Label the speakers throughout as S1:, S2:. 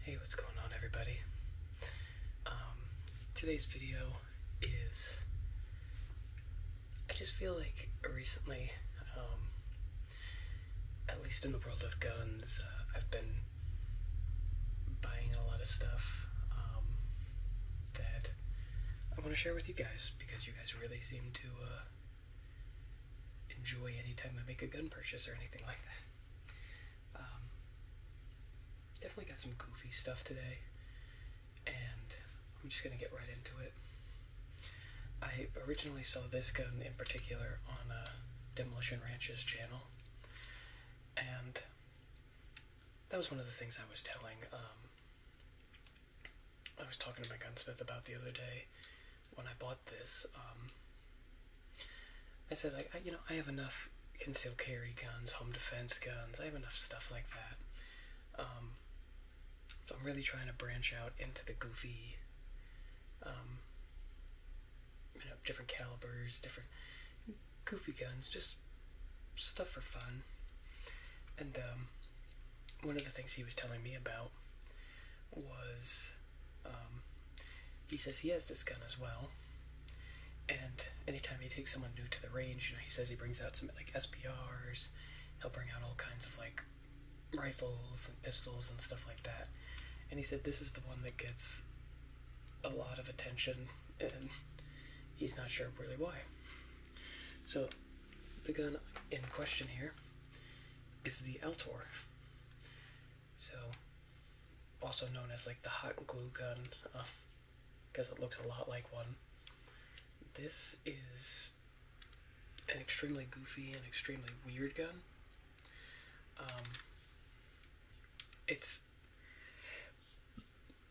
S1: Hey, what's going on, everybody? Um, today's video is. I just feel like recently, um, at least in the world of guns, uh, I've been buying a lot of stuff um, that I want to share with you guys because you guys really seem to uh, enjoy anytime I make a gun purchase or anything like that. Um, definitely got some goofy stuff today, and I'm just gonna get right into it. I originally saw this gun in particular on uh, Demolition Ranch's channel, and that was one of the things I was telling. Um, I was talking to my gunsmith about the other day when I bought this, um, I said, like, you know, I have enough concealed carry guns, home defense guns, I have enough stuff like that. Um, so I'm really trying to branch out into the goofy, um, you know, different calibers, different goofy guns, just stuff for fun. And one of the things he was telling me about was um, he says he has this gun as well. And anytime he takes someone new to the range, you know, he says he brings out some like SPRs. He'll bring out all kinds of like rifles and pistols and stuff like that. And he said this is the one that gets a lot of attention, and he's not sure really why. So, the gun in question here is the Altor. So, also known as like the hot glue gun, because uh, it looks a lot like one. This is an extremely goofy and extremely weird gun. Um, it's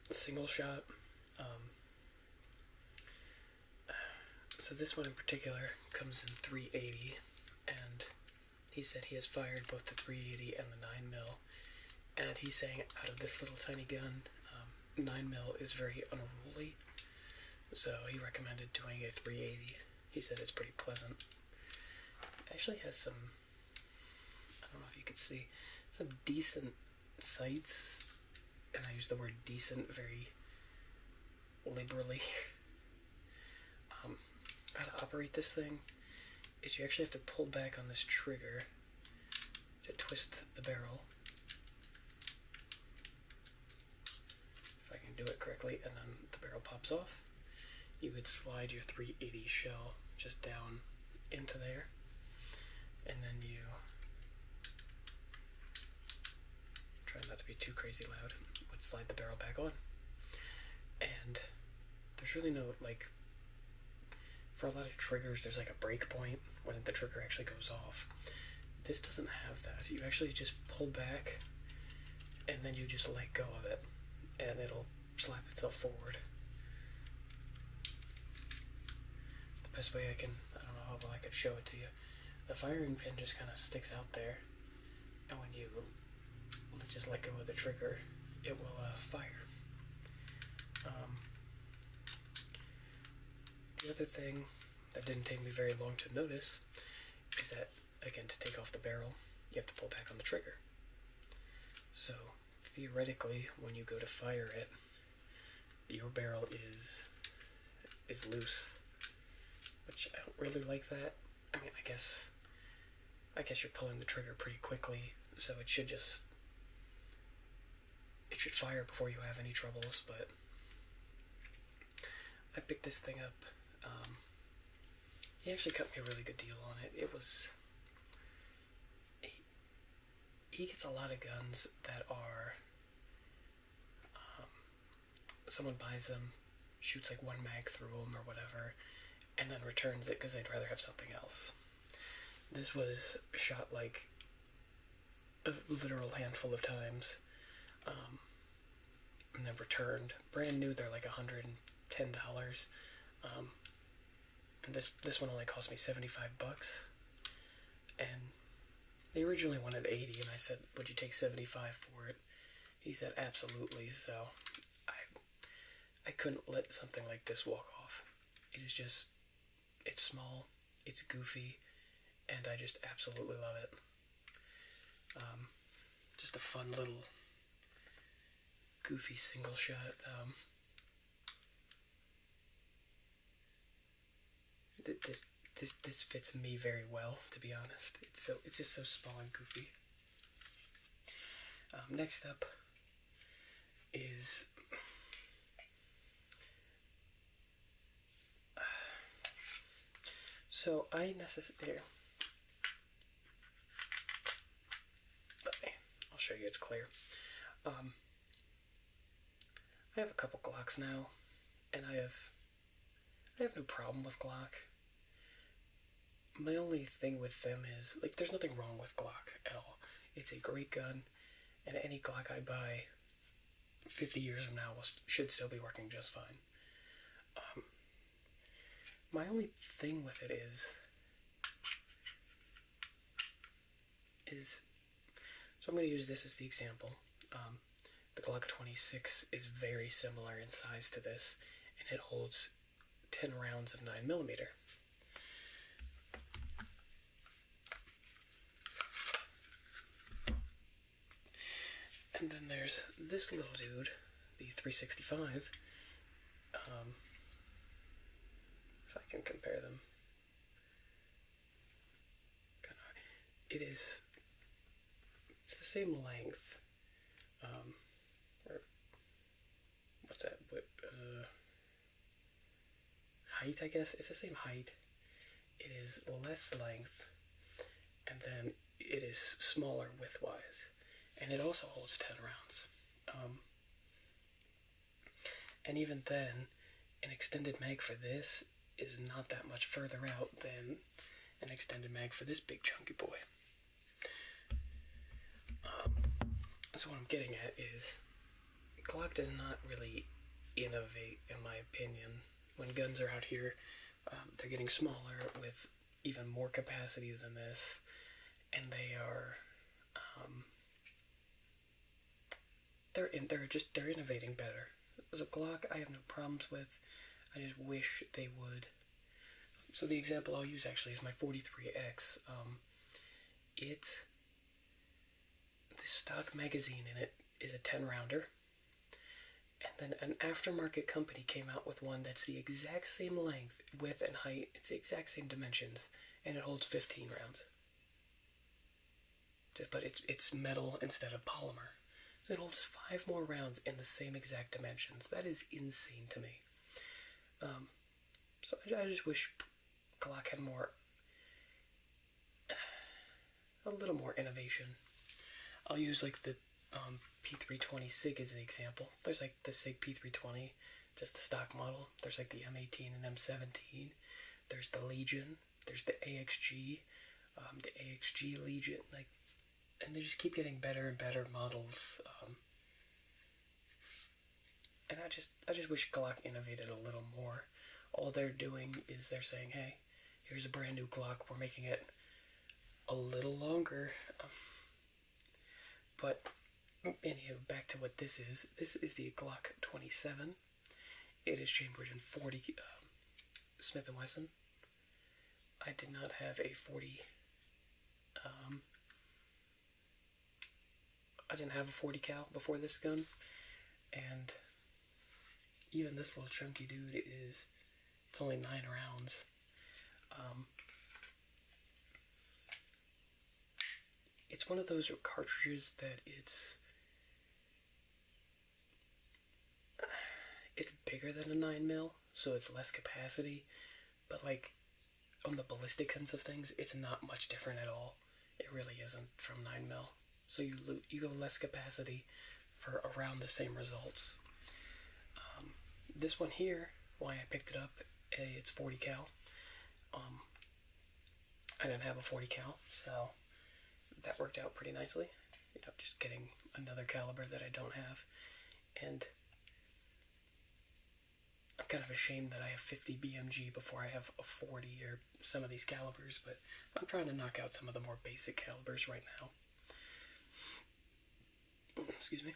S1: single shot. Um, so this one in particular comes in 380, and he said he has fired both the 380 and the 9 mm and he's saying out of this little tiny gun, um, 9 mm is very unruly. So he recommended doing a 380. He said it's pretty pleasant. actually has some, I don't know if you could see, some decent sights, and I use the word decent very liberally. Um, how to operate this thing is you actually have to pull back on this trigger to twist the barrel. If I can do it correctly, and then the barrel pops off, you would slide your 380 shell just down into there, and then you trying not to be too crazy loud, would slide the barrel back on. And there's really no, like, for a lot of triggers, there's like a break point when the trigger actually goes off. This doesn't have that. You actually just pull back and then you just let go of it and it'll slap itself forward. The best way I can, I don't know how well I could show it to you. The firing pin just kind of sticks out there, and when you just let go of the trigger, it will uh, fire. Um, the other thing that didn't take me very long to notice is that, again, to take off the barrel, you have to pull back on the trigger. So, theoretically, when you go to fire it, your barrel is is loose, which I don't really like that I mean, I guess, I guess you're pulling the trigger pretty quickly, so it should just, it should fire before you have any troubles, but I picked this thing up, um, he actually cut me a really good deal on it, it was, he, gets a lot of guns that are, um, someone buys them, shoots like one mag through them or whatever, and then returns it because they'd rather have something else. This was shot like a literal handful of times, um, and then returned. Brand new, they're like hundred and ten dollars, um, and this this one only cost me seventy five bucks, and they originally wanted eighty, and I said, "Would you take seventy five for it?" He said, absolutely. So I, I couldn't let something like this walk off. It is just, it's small, it's goofy, and I just absolutely love it. Um, just a fun little goofy single shot. Um, this this fits me very well, to be honest. It's so it's just so small and goofy. Um, next up is uh, so I necessarily. I'll show you. It's clear. Um, I have a couple clocks now, and I have I have no problem with Glock. My only thing with them is like there's nothing wrong with Glock at all. It's a great gun, and any Glock I buy 50 years from now will, should still be working just fine. Um, my only thing with it is is so I'm going to use this as the example. Um, the Glock 26 is very similar in size to this, and it holds 10 rounds of 9mm. And then there's this little dude, the 365. Um, if I can compare them, it is it's the same length. Um, or what's that? What, uh, height, I guess. It's the same height. It is less length, and then it is smaller widthwise, and it also holds 10 rounds. Um, and even then, an extended mag for this is not that much further out than an extended mag for this big chunky boy. Um, so what I'm getting at is Glock does not really innovate, in my opinion. When guns are out here, um, they're getting smaller with even more capacity than this, and they are. Um, they're in, they're just they're innovating better a Glock I have no problems with. I just wish they would. So the example I'll use actually is my 43X. Um, it, the stock magazine in it is a 10 rounder. And then an aftermarket company came out with one that's the exact same length, width, and height. It's the exact same dimensions, and it holds 15 rounds. But it's it's metal instead of polymer. It holds five more rounds in the same exact dimensions. That is insane to me. Um, so I, just wish Glock had more, a little more innovation. I'll use like the um, P320 SIG as an example. There's like the SIG P320, just the stock model. There's like the M18 and M17. There's the Legion. There's the AXG, um, the AXG Legion, like, and they just keep getting better and better models. Um, and I just, I just wish Glock innovated a little more. All they're doing is they're saying, "Hey, here's a brand new Glock. We're making it a little longer." but anywho, back to what this is. This is the Glock 27. It is chambered in 40 um, Smith & Wesson. I did not have a 40. Um, I didn't have a 40 cal before this gun, and even this little chunky dude is It's only nine rounds. Um, it's one of those cartridges that it's it's bigger than a 9 mil, so it's less capacity, but like on the ballistic sense of things, it's not much different at all. It really isn't from 9 mil. So you loot, you go less capacity for around the same results. Um, this one here, why I picked it up, eh, it's 40 cal. Um, I didn't have a 40 cal, so that worked out pretty nicely. You know, just getting another caliber that I don't have. And I'm kind of ashamed that I have 50 BMG before I have a 40 or some of these calibers, but I'm trying to knock out some of the more basic calibers right now. Excuse me.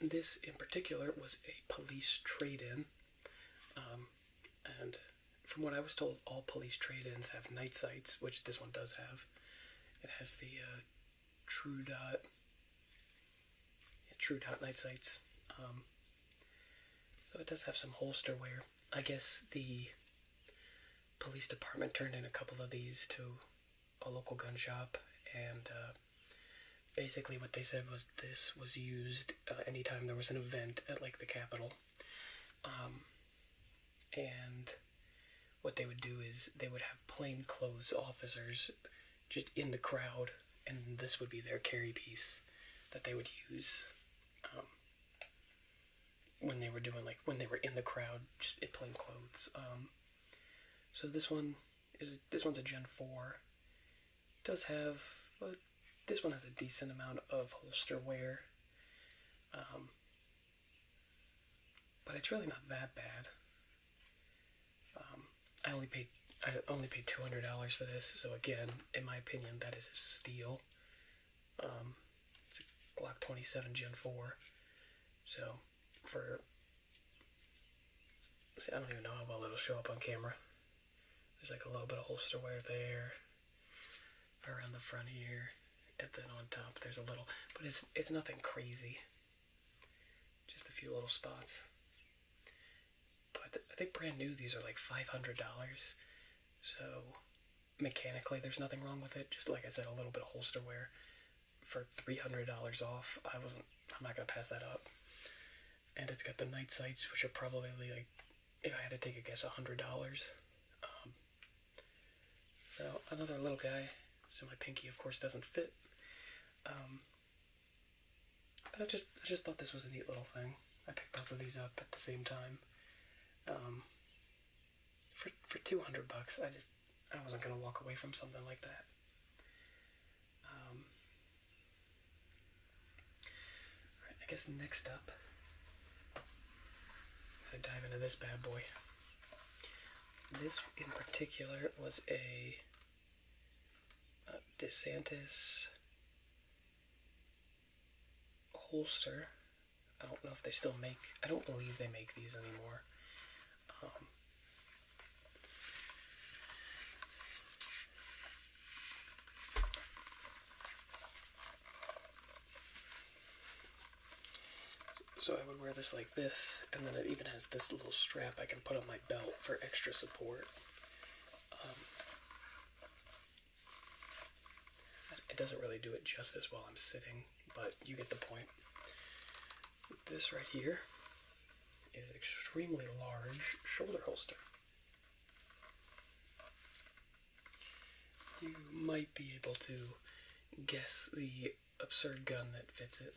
S1: This in particular was a police trade in, um, and from what I was told, all police trade-ins have night sights, which this one does have. It has the uh, True Dot, True Dot night sights. Um, so it does have some holster wear. I guess the police department turned in a couple of these to a local gun shop, and uh, basically what they said was this was used uh, anytime there was an event at like the Capitol. Um, and what they would do is they would have plainclothes officers just in the crowd, and this would be their carry piece that they would use um, when they were doing like when they were in the crowd, just in plain clothes. Um, so this one is this one's a Gen Four. does have a this one has a decent amount of holster wear, um, but it's really not that bad. Um, I only paid I only paid two hundred dollars for this, so again, in my opinion, that is a steal. Um, it's a Glock twenty seven Gen four, so for I don't even know how well it'll show up on camera. There's like a little bit of holster wear there, around the front here, and then on top there's a little, but it's it's nothing crazy. Just a few little spots. But I think brand new these are like five hundred dollars, so mechanically there's nothing wrong with it. Just like I said, a little bit of holster wear for three hundred dollars off. I wasn't. I'm not gonna pass that up and it's got the night sights, which are probably like, if I had to take a guess, a hundred dollars. Um, so another little guy, so my pinky, of course, doesn't fit. Um, but I just, I just thought this was a neat little thing. I picked both of these up at the same time. Um, for for two hundred bucks, I just, I wasn't gonna walk away from something like that. I guess next up, I'm gonna dive into this bad boy. This in particular was a DeSantis holster. I don't know if they still make, I don't believe they make these anymore. Um, so I would wear this like this, and then it even has this little strap I can put on my belt for extra support. Um, it doesn't really do it justice while I'm sitting, but you get the point. This right here is extremely large shoulder holster. You might be able to guess the absurd gun that fits it.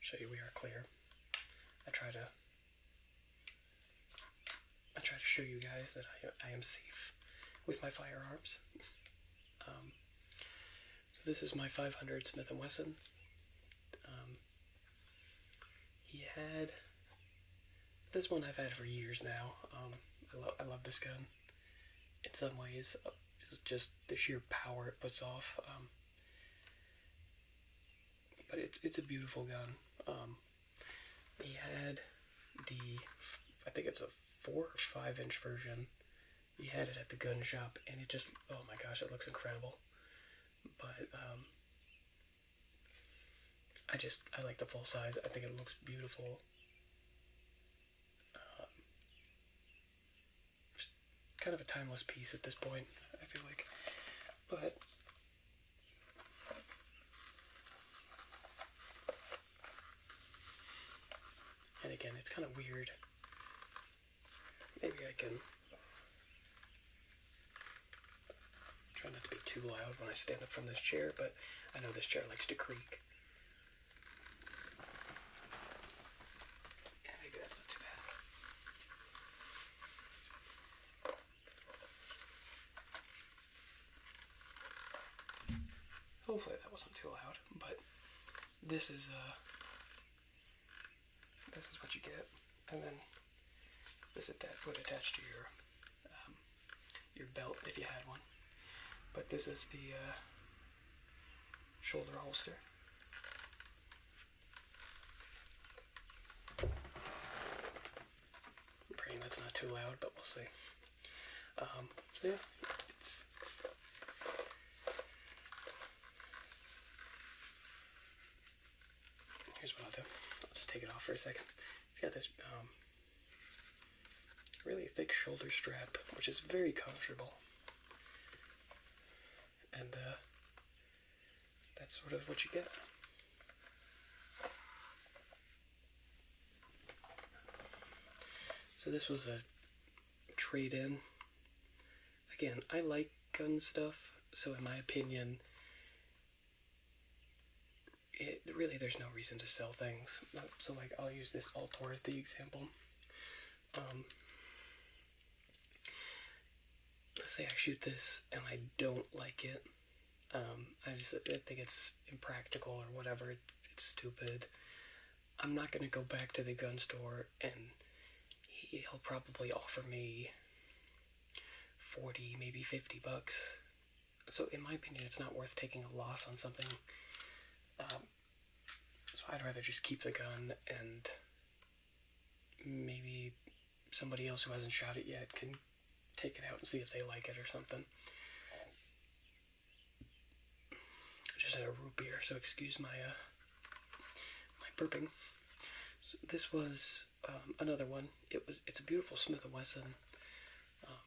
S1: Show you we are clear. I try to I try to show you guys that I, am safe with my firearms. Um, so this is my 500 Smith & Wesson. Um, he had this one I've had for years now. Um, I, love this gun. In some ways, uh, just, the sheer power it puts off. Um, but it's it's a beautiful gun. he had the I think it's a four or five inch version he had it at the gun shop, and it just, oh my gosh, it looks incredible. But, um, I just, I like the full size. I think it looks beautiful. Um, kind of a timeless piece at this point, I feel like. But, and again, it's kind of weird. Maybe I can try not to be too loud when I stand up from this chair, but I know this chair likes to creak. Yeah, maybe that's not too bad. Hopefully that wasn't too loud but this is a uh, this is what you get, and then this that would attach to your um, your belt if you had one. But this is the uh, shoulder holster. praying that's not too loud, but we'll see. Um, yeah, it's here's what I'll I'll just take it off for a second. It's got this um, really thick shoulder strap, which is very comfortable, and uh, that's sort of what you get. So this was a trade-in. Again, I like gun stuff, so in my opinion, it really there's no reason to sell things. So like I'll use this Altor as the example. Um, let's say I shoot this and I don't like it. Um, I just I think it's impractical or whatever it's stupid. I'm not gonna go back to the gun store and he'll probably offer me 40, maybe 50 bucks. So, in my opinion, it's not worth taking a loss on something. Um, so, I'd rather just keep the gun and maybe somebody else who hasn't shot it yet can take it out and see if they like it or something. I just had a root beer, so excuse my uh, my burping. this was um, another one. It was it's a beautiful Smith and Wesson. Um,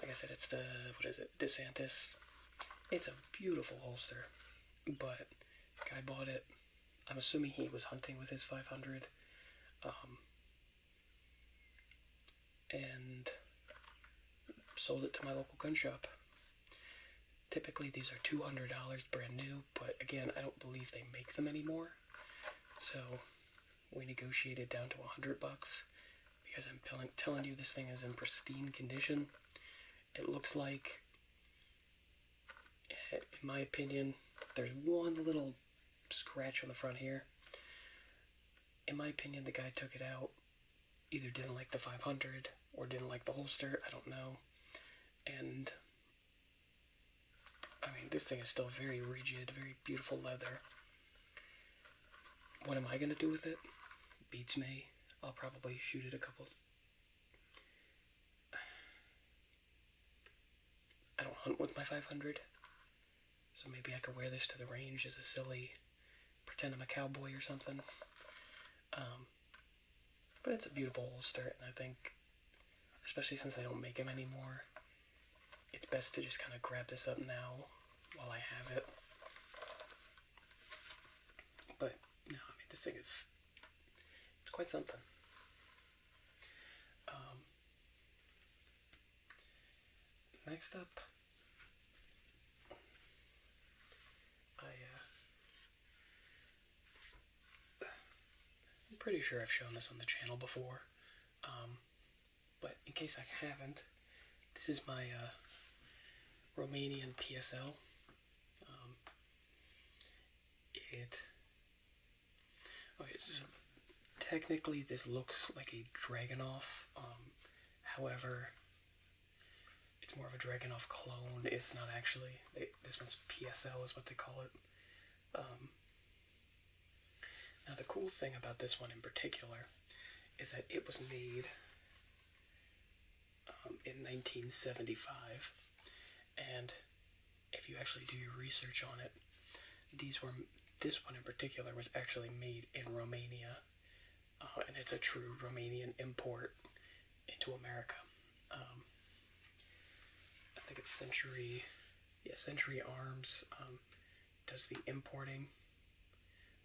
S1: like I said, it's the what is it DeSantis. It's a beautiful holster, but guy bought it. I'm assuming he was hunting with his 500. Um, and sold it to my local gun shop. Typically, these are $200 brand new, but again, I don't believe they make them anymore. So we negotiated down to 100 bucks because I'm telling you this thing is in pristine condition. It looks like, eh, in my opinion, there's one little scratch on the front here in my opinion, the guy took it out. Either didn't like the 500 or didn't like the holster. I don't know. And I mean, this thing is still very rigid, very beautiful leather. What am I gonna do with it? Beats me. I'll probably shoot it a couple. I don't hunt with my 500. So maybe I could wear this to the range as a silly pretend I'm a cowboy or something. Um, but it's a beautiful holster, and I think, especially since they don't make them anymore, it's best to just kind of grab this up now while I have it. But no, I mean this thing is it's quite something. Um, Next up, I, uh, I'm pretty sure I've shown this on the channel before, um, but in case I haven't, this is my uh, Romanian PSL. Um, it technically this looks like a Dragonoff, um, however, it's more of a Dragonoff clone. It's not actually, this one's PSL is what they call it. Um, now the cool thing about this one in particular is that it was made um, in 1975 and if you actually do your research on it, these were this one in particular was actually made in Romania, uh, and it's a true Romanian import into America. Um, I think it's Century, yeah, Century Arms um, does the importing,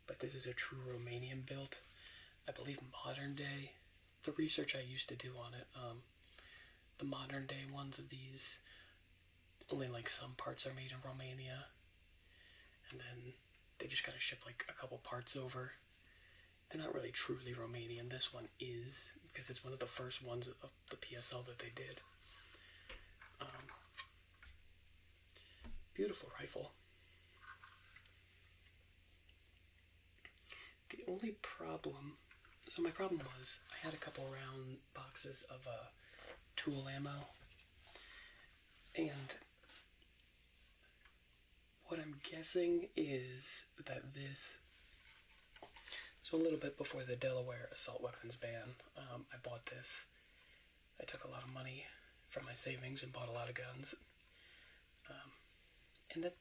S1: but this is a true Romanian built. I believe modern day. The research I used to do on it, um, the modern day ones of these only like some parts are made in Romania, and then they just kind of ship like a couple parts over. They're not really truly Romanian. This one is because it's one of the first ones of the PSL that they did. Um, beautiful rifle. The only problem so my problem was I had a couple round boxes of uh, tool ammo, and what I'm guessing is that this. So a little bit before the Delaware assault weapons ban, um, I bought this. I took a lot of money from my savings and bought a lot of guns. Um, and that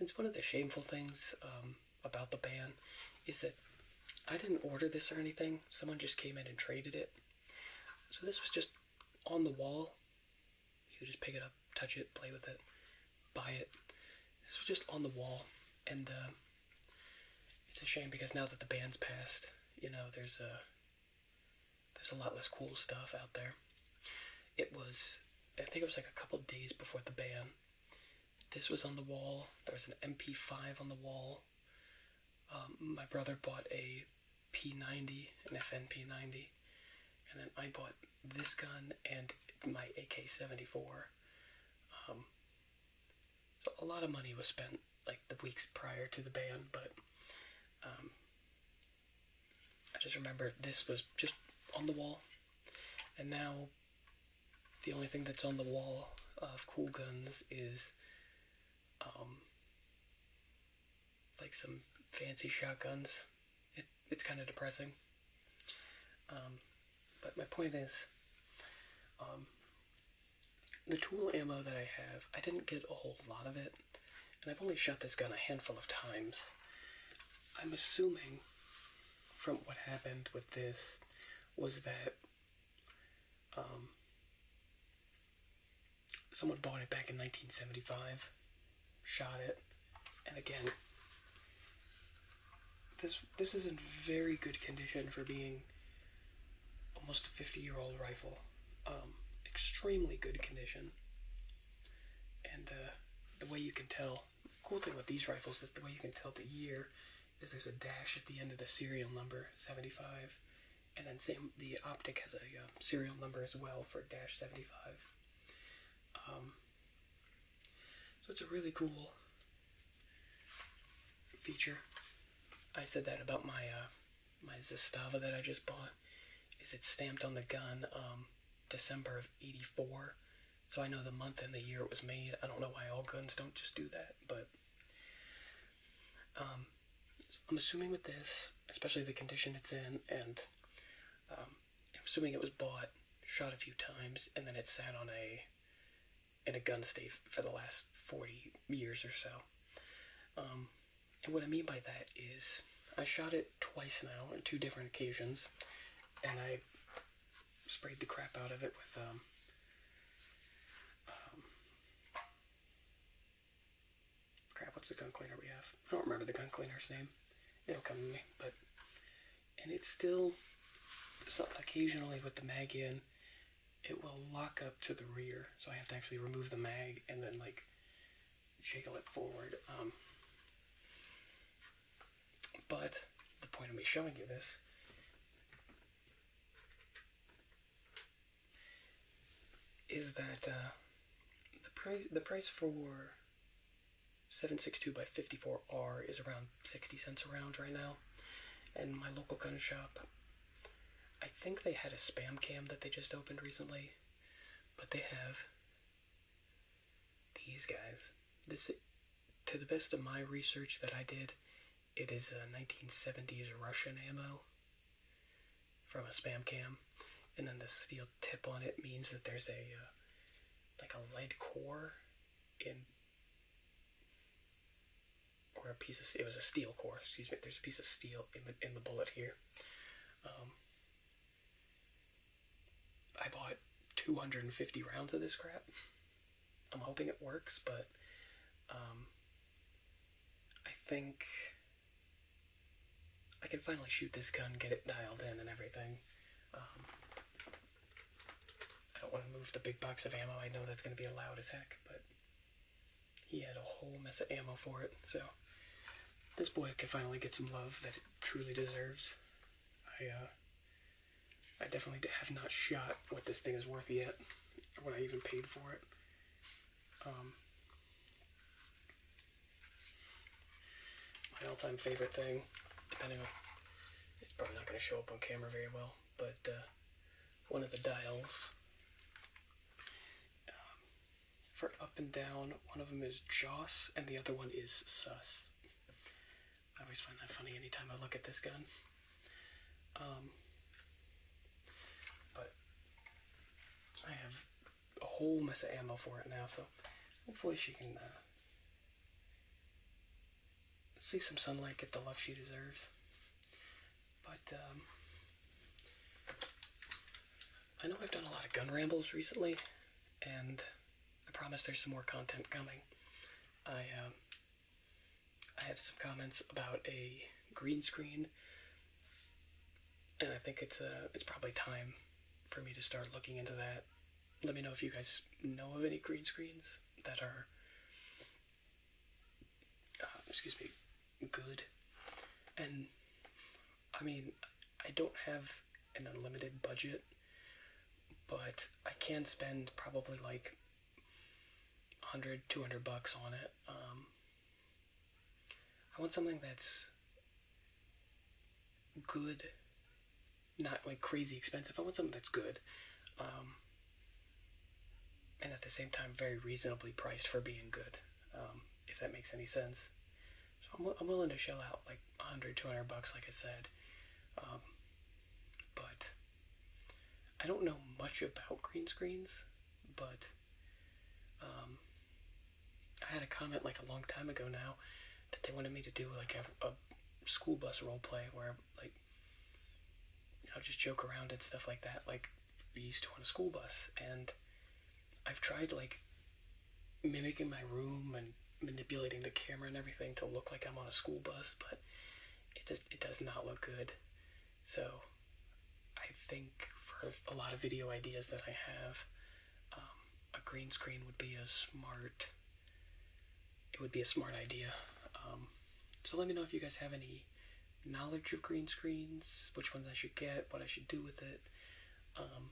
S1: it's one of the shameful things um, about the band is that I didn't order this or anything. Someone just came in and traded it. So this was just on the wall. You could just pick it up, touch it, play with it, buy it. This was just on the wall, and uh, it's a shame because now that the band's passed, you know, there's a there's a lot less cool stuff out there. It was, I think it was like a couple days before the ban, this was on the wall. There was an MP5 on the wall. Um, my brother bought a P90, an FNP90, and then I bought this gun and my AK-74. Um, so a lot of money was spent like the weeks prior to the ban, but um, I just remember this was just on the wall, and now the only thing that's on the wall of Cool Guns is um, like some fancy shotguns. it's kind of depressing. Um, but my point is, um, the tool ammo that I have, I didn't get a whole lot of it, and I've only shot this gun a handful of times. I'm assuming from what happened with this was that um, someone bought it back in 1975, shot it, and again, this this is in very good condition for being almost a 50 year old rifle. Um, extremely good condition, and uh, the way you can tell cool thing about these rifles is the way you can tell the year is there's a dash at the end of the serial number, 75. And then same, the optic has a um, serial number as well for dash 75. Um, so it's a really cool feature. I said that about my uh, my Zastava that I just bought. Is it stamped on the gun um, December of '84, so I know the month and the year it was made. I don't know why all guns don't just do that, but um, I'm assuming with this, especially the condition it's in, and um, assuming it was bought, shot a few times, and then it sat on a in a gun safe for the last 40 years or so. Um, and what I mean by that is I shot it twice now on two different occasions, and I sprayed the crap out of it with um, um, crap. What's the gun cleaner we have? I don't remember the gun cleaner's name. It'll come to me, but and it's still so occasionally with the mag in, it will lock up to the rear, so I have to actually remove the mag and then like jiggle it forward. Um, but the point of me showing you this is that uh, the price the price for 762 by 54R is around 60 cents around right now. And my local gun shop, I think they had a spam cam that they just opened recently, but they have these guys. This, to the best of my research that I did, it is a 1970s Russian ammo from a spam cam, and then the steel tip on it means that there's a uh, like a lead core in or a piece of it was a steel core. Excuse me. There's a piece of steel in the bullet here. Um, I bought 250 rounds of this crap. I'm hoping it works, but um, I think I can finally shoot this gun, get it dialed in and everything. Um, I don't want to move the big box of ammo. I know that's going to be loud as heck, but he had a whole mess of ammo for it, so this boy can finally get some love that it truly deserves. I uh, I definitely have not shot what this thing is worth yet, or what I even paid for it. Um, my all-time favorite thing, depending on, it's probably not going to show up on camera very well, but uh, one of the dials um, for up and down, one of them is Joss and the other one is Sus. I always find that funny anytime I look at this gun. Um, but I have a whole mess of ammo for it now, so hopefully she can uh, see some sunlight, get the love she deserves. But um, I know I've done a lot of gun rambles recently, and I promise there's some more content coming. I um, I had some comments about a green screen, and I think it's uh, it's probably time for me to start looking into that. Let me know if you guys know of any green screens that are, uh, excuse me, good, and I mean, I don't have an unlimited budget, but I can spend probably like 100, 200 bucks on it. Um, I want something that's good, not like crazy expensive. I want something that's good. Um, and at the same time, very reasonably priced for being good, um, if that makes any sense. So I'm, I'm willing to shell out like 100, 200 bucks, like I said. Um, but I don't know much about green screens, but um, I had a comment like a long time ago now that they wanted me to do like a, a school bus role play where like you know just joke around and stuff like that like we used to on a school bus and I've tried like mimicking my room and manipulating the camera and everything to look like I'm on a school bus, but it just it does not look good. So I think for a lot of video ideas that I have, um, a green screen would be a smart it would be a smart idea. Um, so let me know if you guys have any knowledge of green screens, which ones I should get, what I should do with it. Um,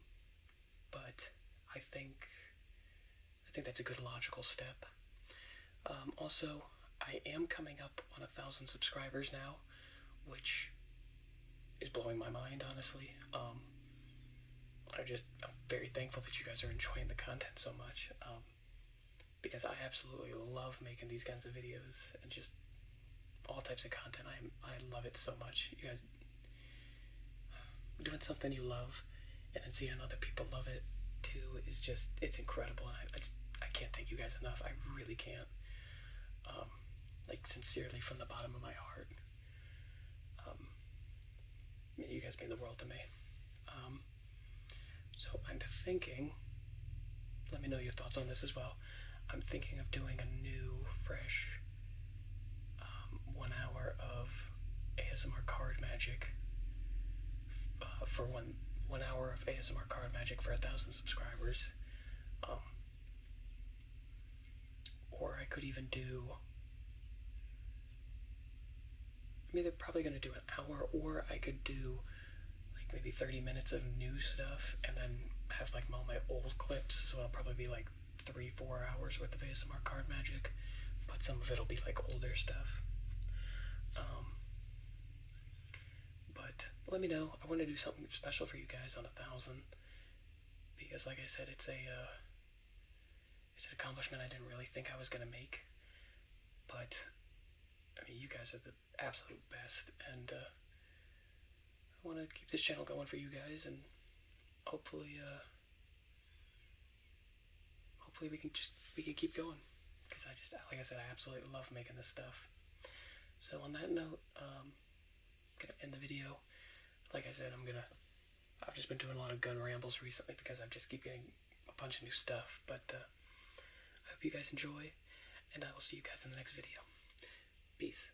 S1: but I think I think that's a good logical step. Um, also, I am coming up on a thousand subscribers now, which is blowing my mind, honestly. I'm um, just I'm very thankful that you guys are enjoying the content so much, um, because I absolutely love making these kinds of videos and just all types of content. I I love it so much. You guys doing something you love and then seeing other people love it too is just it's incredible I, I, can't thank you guys enough I really can't um, like sincerely from the bottom of my heart um, you guys mean the world to me um, so I'm thinking let me know your thoughts on this as well I'm thinking of doing a new fresh um, one hour of ASMR card magic uh, for one one hour of ASMR card magic for a thousand subscribers. Um, or I could even do. I am either probably going to do an hour, or I could do like maybe 30 minutes of new stuff and then have like all my old clips, so it'll probably be like three, four hours worth of ASMR card magic, but some of it'll be like older stuff. Um, but let me know. I want to do something special for you guys on a thousand because, like I said, it's a uh, it's an accomplishment I didn't really think I was gonna make, but I mean, you guys are the absolute best, and uh, I want to keep this channel going for you guys, and hopefully, uh, hopefully we can just we can keep going. Because I just, like I said, I absolutely love making this stuff. So on that note, I'm um, gonna end the video. Like I said, I'm gonna. I've just been doing a lot of gun rambles recently because I just keep getting a bunch of new stuff. But uh, I hope you guys enjoy, and I will see you guys in the next video. Peace.